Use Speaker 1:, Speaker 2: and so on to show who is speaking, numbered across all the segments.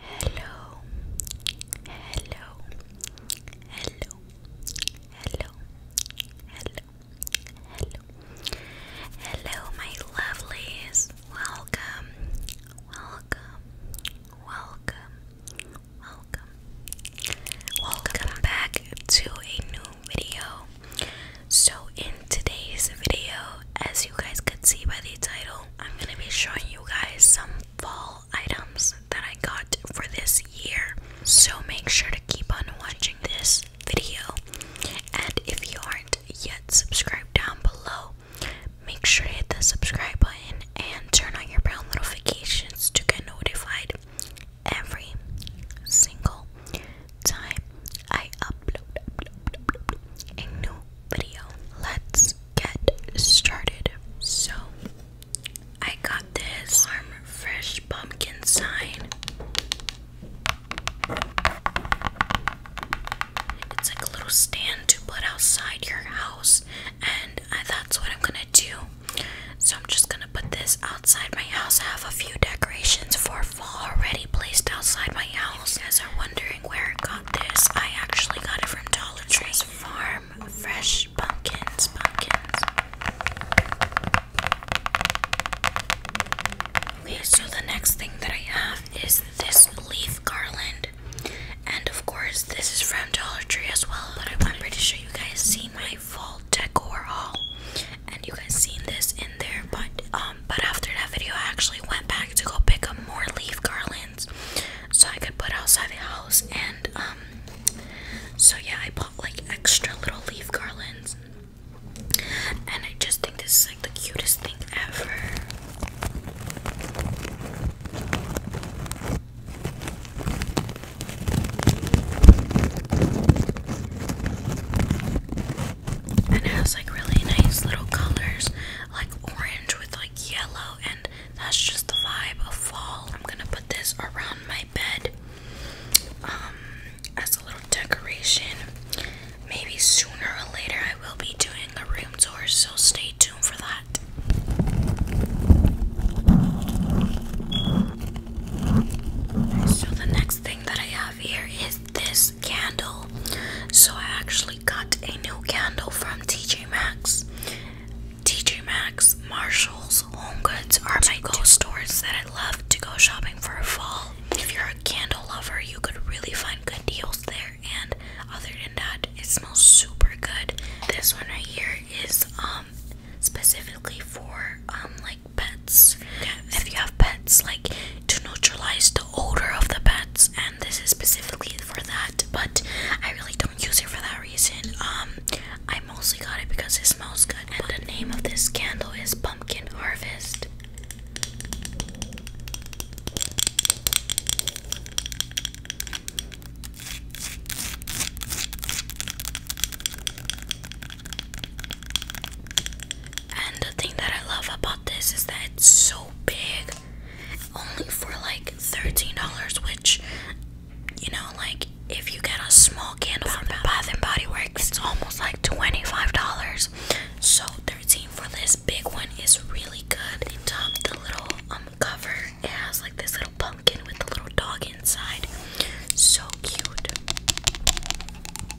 Speaker 1: Hello, hello, hello, hello, hello, hello, hello, my lovelies. Welcome, welcome, welcome, welcome, welcome back to a new video. So, in today's video, as you guys could see by the title, I'm gonna be showing you guys some fall items that I got for this year. So make sure to keep on watching this video. And if you aren't yet subscribed down below, make sure to hit the subscribe button and turn on your bell notifications to get notified every single time I upload, upload a new video. Let's get started. So, I got this farm fresh pumpkin sign. It's like a little stand to put outside your house, and that's what I'm gonna do. So, I'm just gonna put this outside my house. I have a few decorations for fall already placed outside my house. As are wondering, where I got this, I actually got it from Dollar Tree's Farm Fresh Pumpkins. Pumpkins. Okay, so the next thing that I have is this leaf garland. And of course, this is from Dollar Tree as well, but I'm pretty sure you guys see my full decor haul. And you guys seen this in there, but um um, but after that video, I actually went back to go pick up more leaf garlands so I could put outside the house. And um, so yeah, I bought like extra little leaf garlands, and I just think this is like the cutest thing ever. it has like really nice little colors like orange with like yellow, and that's just the vibe of fall. I'm gonna put this around my bed um, as a little decoration. Maybe sooner or later, I will be doing a room tour, so stay tuned for that. So, the next thing that I have here is this candle. So, actually actually got a new candle from TJ Maxx. TJ Maxx, Marshalls, Home Goods are my go stores that I love to go shopping for a fall. If you're a candle lover, you could really find good deals there. And other than that, it smells super good. This one right here is um specifically for um like pets. If you have pets, like to neutralize the odor of the pets, and this is specifically for that. But I really don't use it for that reason. Um, I mostly got it because it smells good. And the name of this candle is Pumpkin Harvest. And the thing that I love about this is that it's so big, only for like $13, which, you know, like if you get a small candle from Bath and Body Works, it's almost like $25. So 13 for this big one is really good. On top, the little um cover, it has like this little pumpkin with the little dog inside. So cute.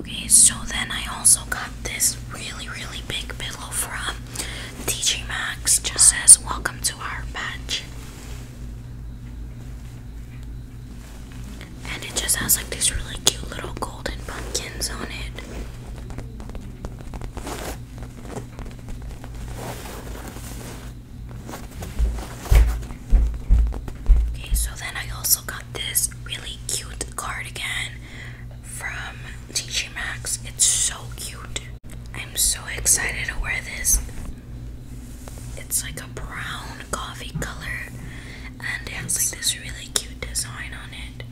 Speaker 1: Okay, so then I also got this really, really big pillow from TJ Maxx. Just says, Welcome to our patch. And it just has like these really cute little golden pumpkins on it. Okay, so then I also got this really cute cardigan from TJ Maxx. It's so cute. I'm so excited to wear this. It's like a brown coffee color and it has like this really cute design on it.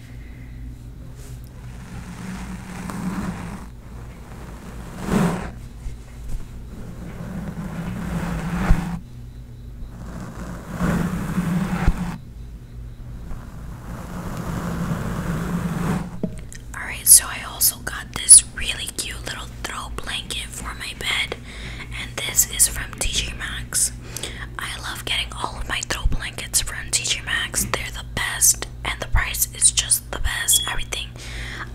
Speaker 1: Alright, so I also got this really cute little throw blanket for my bed, and this is from TJ Maxx. I love getting all of my throw blankets from TJ Maxx, they're the best, and the price is just the best. Everything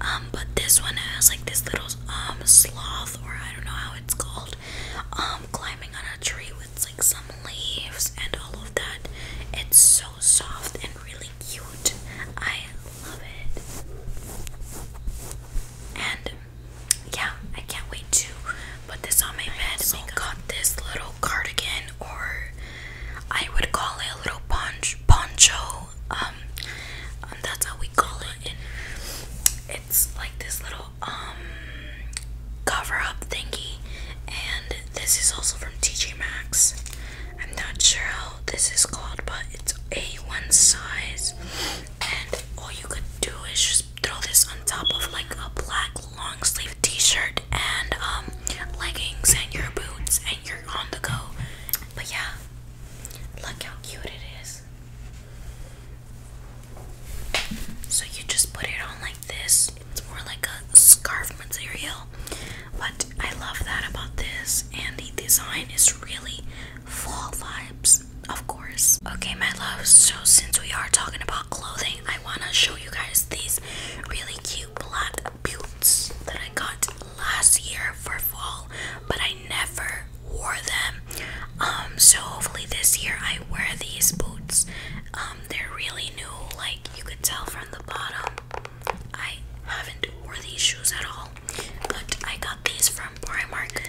Speaker 1: um, but this one has like this little um, sloth, or I don't know how it's called, um, climbing on a tree with like some leaves and all of that. It's so soft and really cute. I love it. And yeah, I can't wait to put this on my bed. So got this little cardigan, or I would call it a little ponch poncho um, that's how we call it and it's like this little um cover up thingy and this is also from TJ Maxx I'm not sure how this is called but it's a1 size and all you could do is just throw this on top of like a black long sleeve t-shirt and um leggings and your boots and you're on the go but yeah Look how cute it is. So you just put it on like this. It's more like a scarf material. But I love that about this. And the design is really fall vibes, of course. Okay, my love. So since we are talking about clothing, I want to show you guys these really cute black boots that I got last year for fall, but I never wore them. Um, so hopefully this year I wear these boots. Um, they're really new, like you could tell from the bottom. I haven't wore these shoes at all, but I got these from Primark.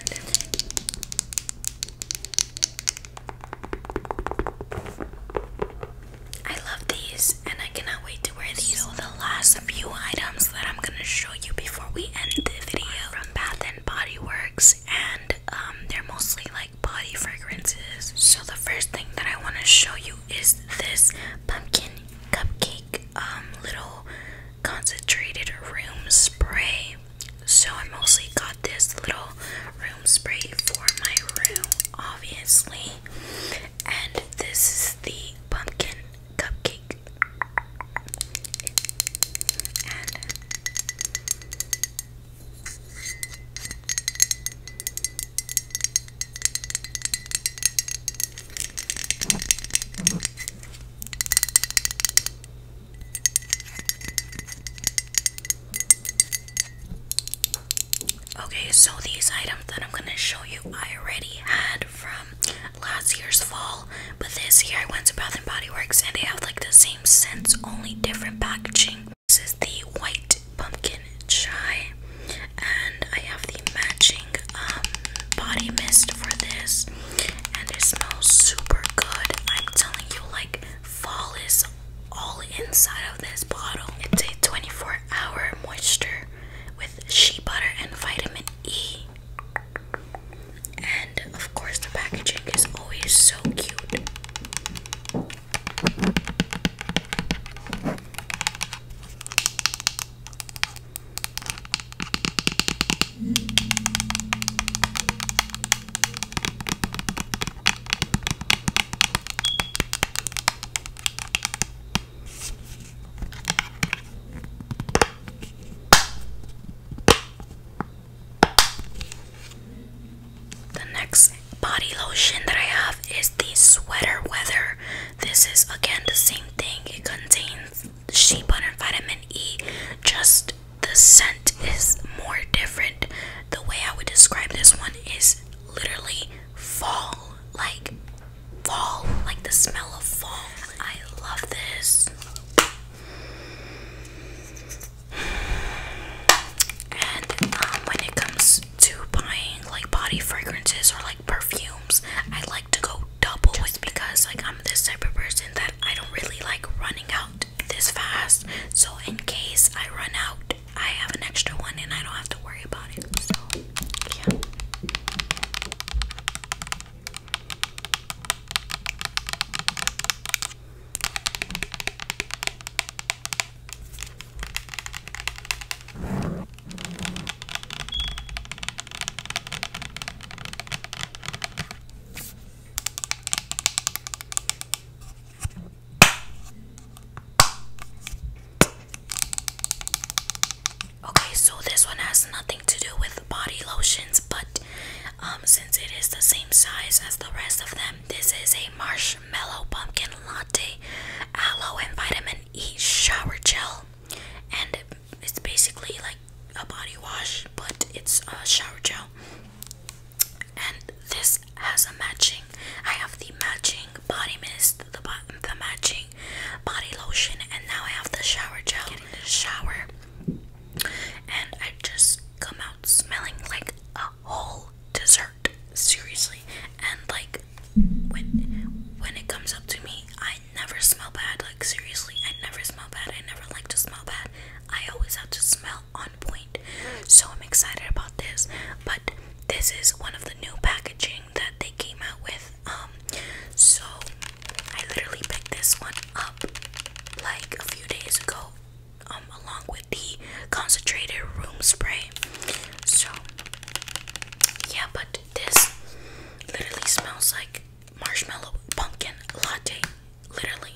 Speaker 1: I love these and I cannot wait so the last few items that I'm gonna show you before we end the video from Bath and Body Works, and um, they're mostly like body fragrances. So the first thing that I want to show you is this pumpkin cupcake um little concentrated room spray. So I mostly got this little room spray for my room, obviously. And this is the pumpkin cupcake. Okay, so these items that I'm going to show you I already had from last year's fall, but this year I went to Bath and Body Works and they have like the same scents, only different packaging. This is the white pumpkin chai, and I have the matching um, body mist for this, and it smells super good. I'm telling you, like, fall is all inside of this bottle. It's a 24 hour moisture with shea butter and vitamin E. And of course, the packaging is always so cute. The next body lotion that I have is the Sweater Weather. This is again the same thing, it contains shea butter and vitamin E, just the scent is more different. The way I would describe this one is literally fall, like fall, like the smell of fall. I love this. And um, when it comes to buying like body fragrances or like perfumes, I like to go double just because like I'm this type of person that I don't really like running out this fast. So in case I run out, I have an extra one and I don't have to worry about it. So, yeah. Okay, so this one has nothing to do with body lotions, but um, since it is the same size as the rest of them, this is a marshmallow pumpkin latte aloe and vitamin E shower gel, and it's basically like a body wash, but it's a shower gel. And this has a matching. I have the matching body mist, the the matching body lotion, and now I have the shower gel. shower, and I just come out smelling like a whole dessert. Seriously, and like when when it comes up to me, I never smell bad. Like seriously, I never smell bad. I never like to smell bad. I always have to smell on point. So I'm excited about this, but this is one of the new packaging that they came out with. Um, so I literally picked this one up like a few days ago, um, along with the concentrated room spray. So yeah, but this literally smells like marshmallow pumpkin latte, literally.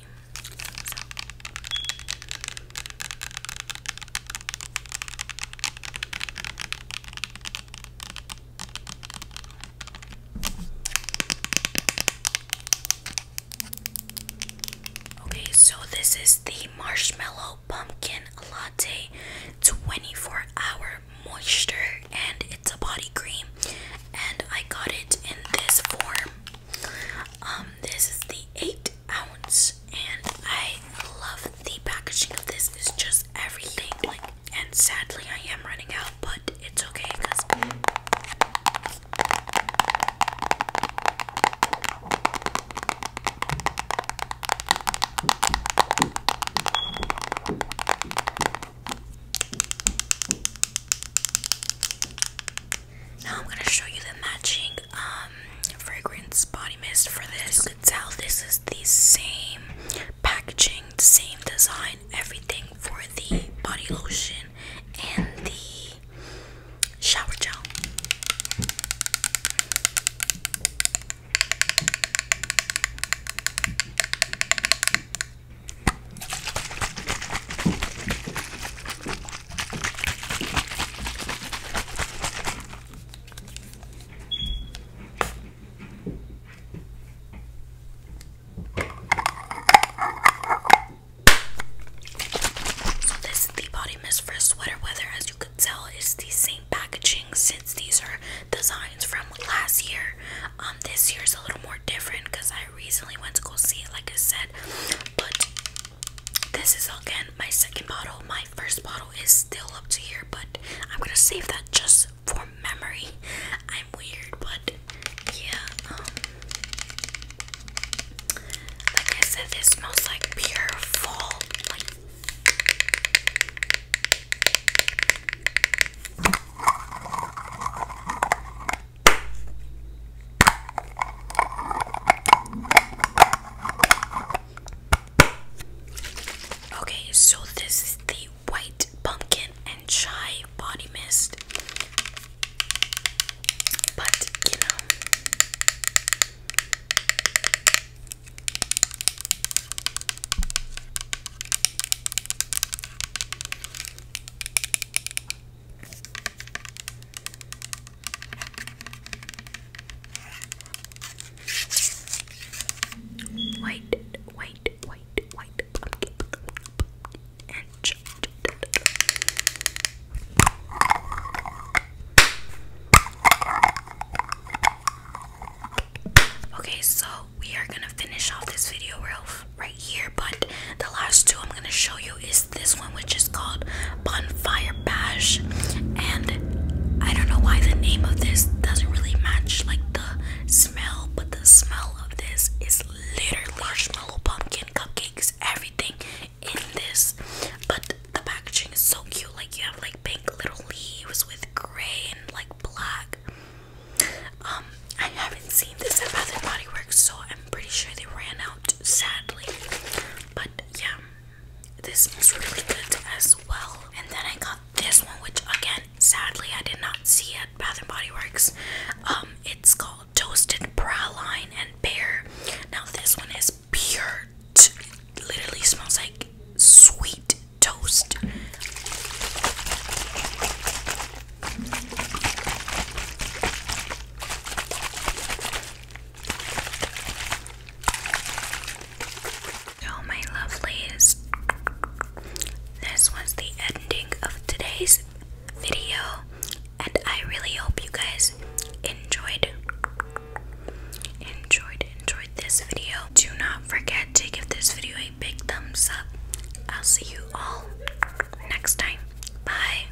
Speaker 1: Okay, so this is the marshmallow pumpkin latte 24 hour moisture, and it's a body cream, and I got it in this form. Um, this is the eight ounce, and I love the packaging of this. It's just everything. Like, and sadly, I am running out, but it's okay because. Now I'm gonna show you the matching um, um, fragrance body mist for this. You could tell this is the same packaging, same design, everything for the body lotion and the shower gel. So this is the body mist for sweater weather. As you could tell, it's the same packaging since these are designs from last year. Um, this year's a little more different because I recently went to go see it, like I said. But this is again my second bottle. My first bottle is still up to here, but I'm gonna save that just for memory. I'm weird, but yeah. Um, like I said, this smells like pure fall. Okay, so this is the white pumpkin and chai body mist. White, white, white, white, and chocolate. Okay, so we are gonna finish off this video real right here, but the last two I'm gonna show you you is this one, which is called Bonfire Bash. And I don't know why the name of this doesn't really match like the smell, but the smell of this is literally marshmallow, pumpkin, cupcakes, everything in this. But the packaging is so cute. Like you have like pink little leaves with gray and like black. Um, I haven't seen this at Bath and Body Works, so I'm pretty sure they ran out sadly. But yeah this smells really good as well and then i got this one which again sadly i did not see at bath and body works um it's called toasted praline and pear now this one is pure t literally smells like sweet toast so, oh, my lovelies, this was the ending of today's video, and I really hope you guys enjoyed enjoyed enjoyed this video. Do not forget to give this video a big thumbs up. I'll see you all next time. Bye.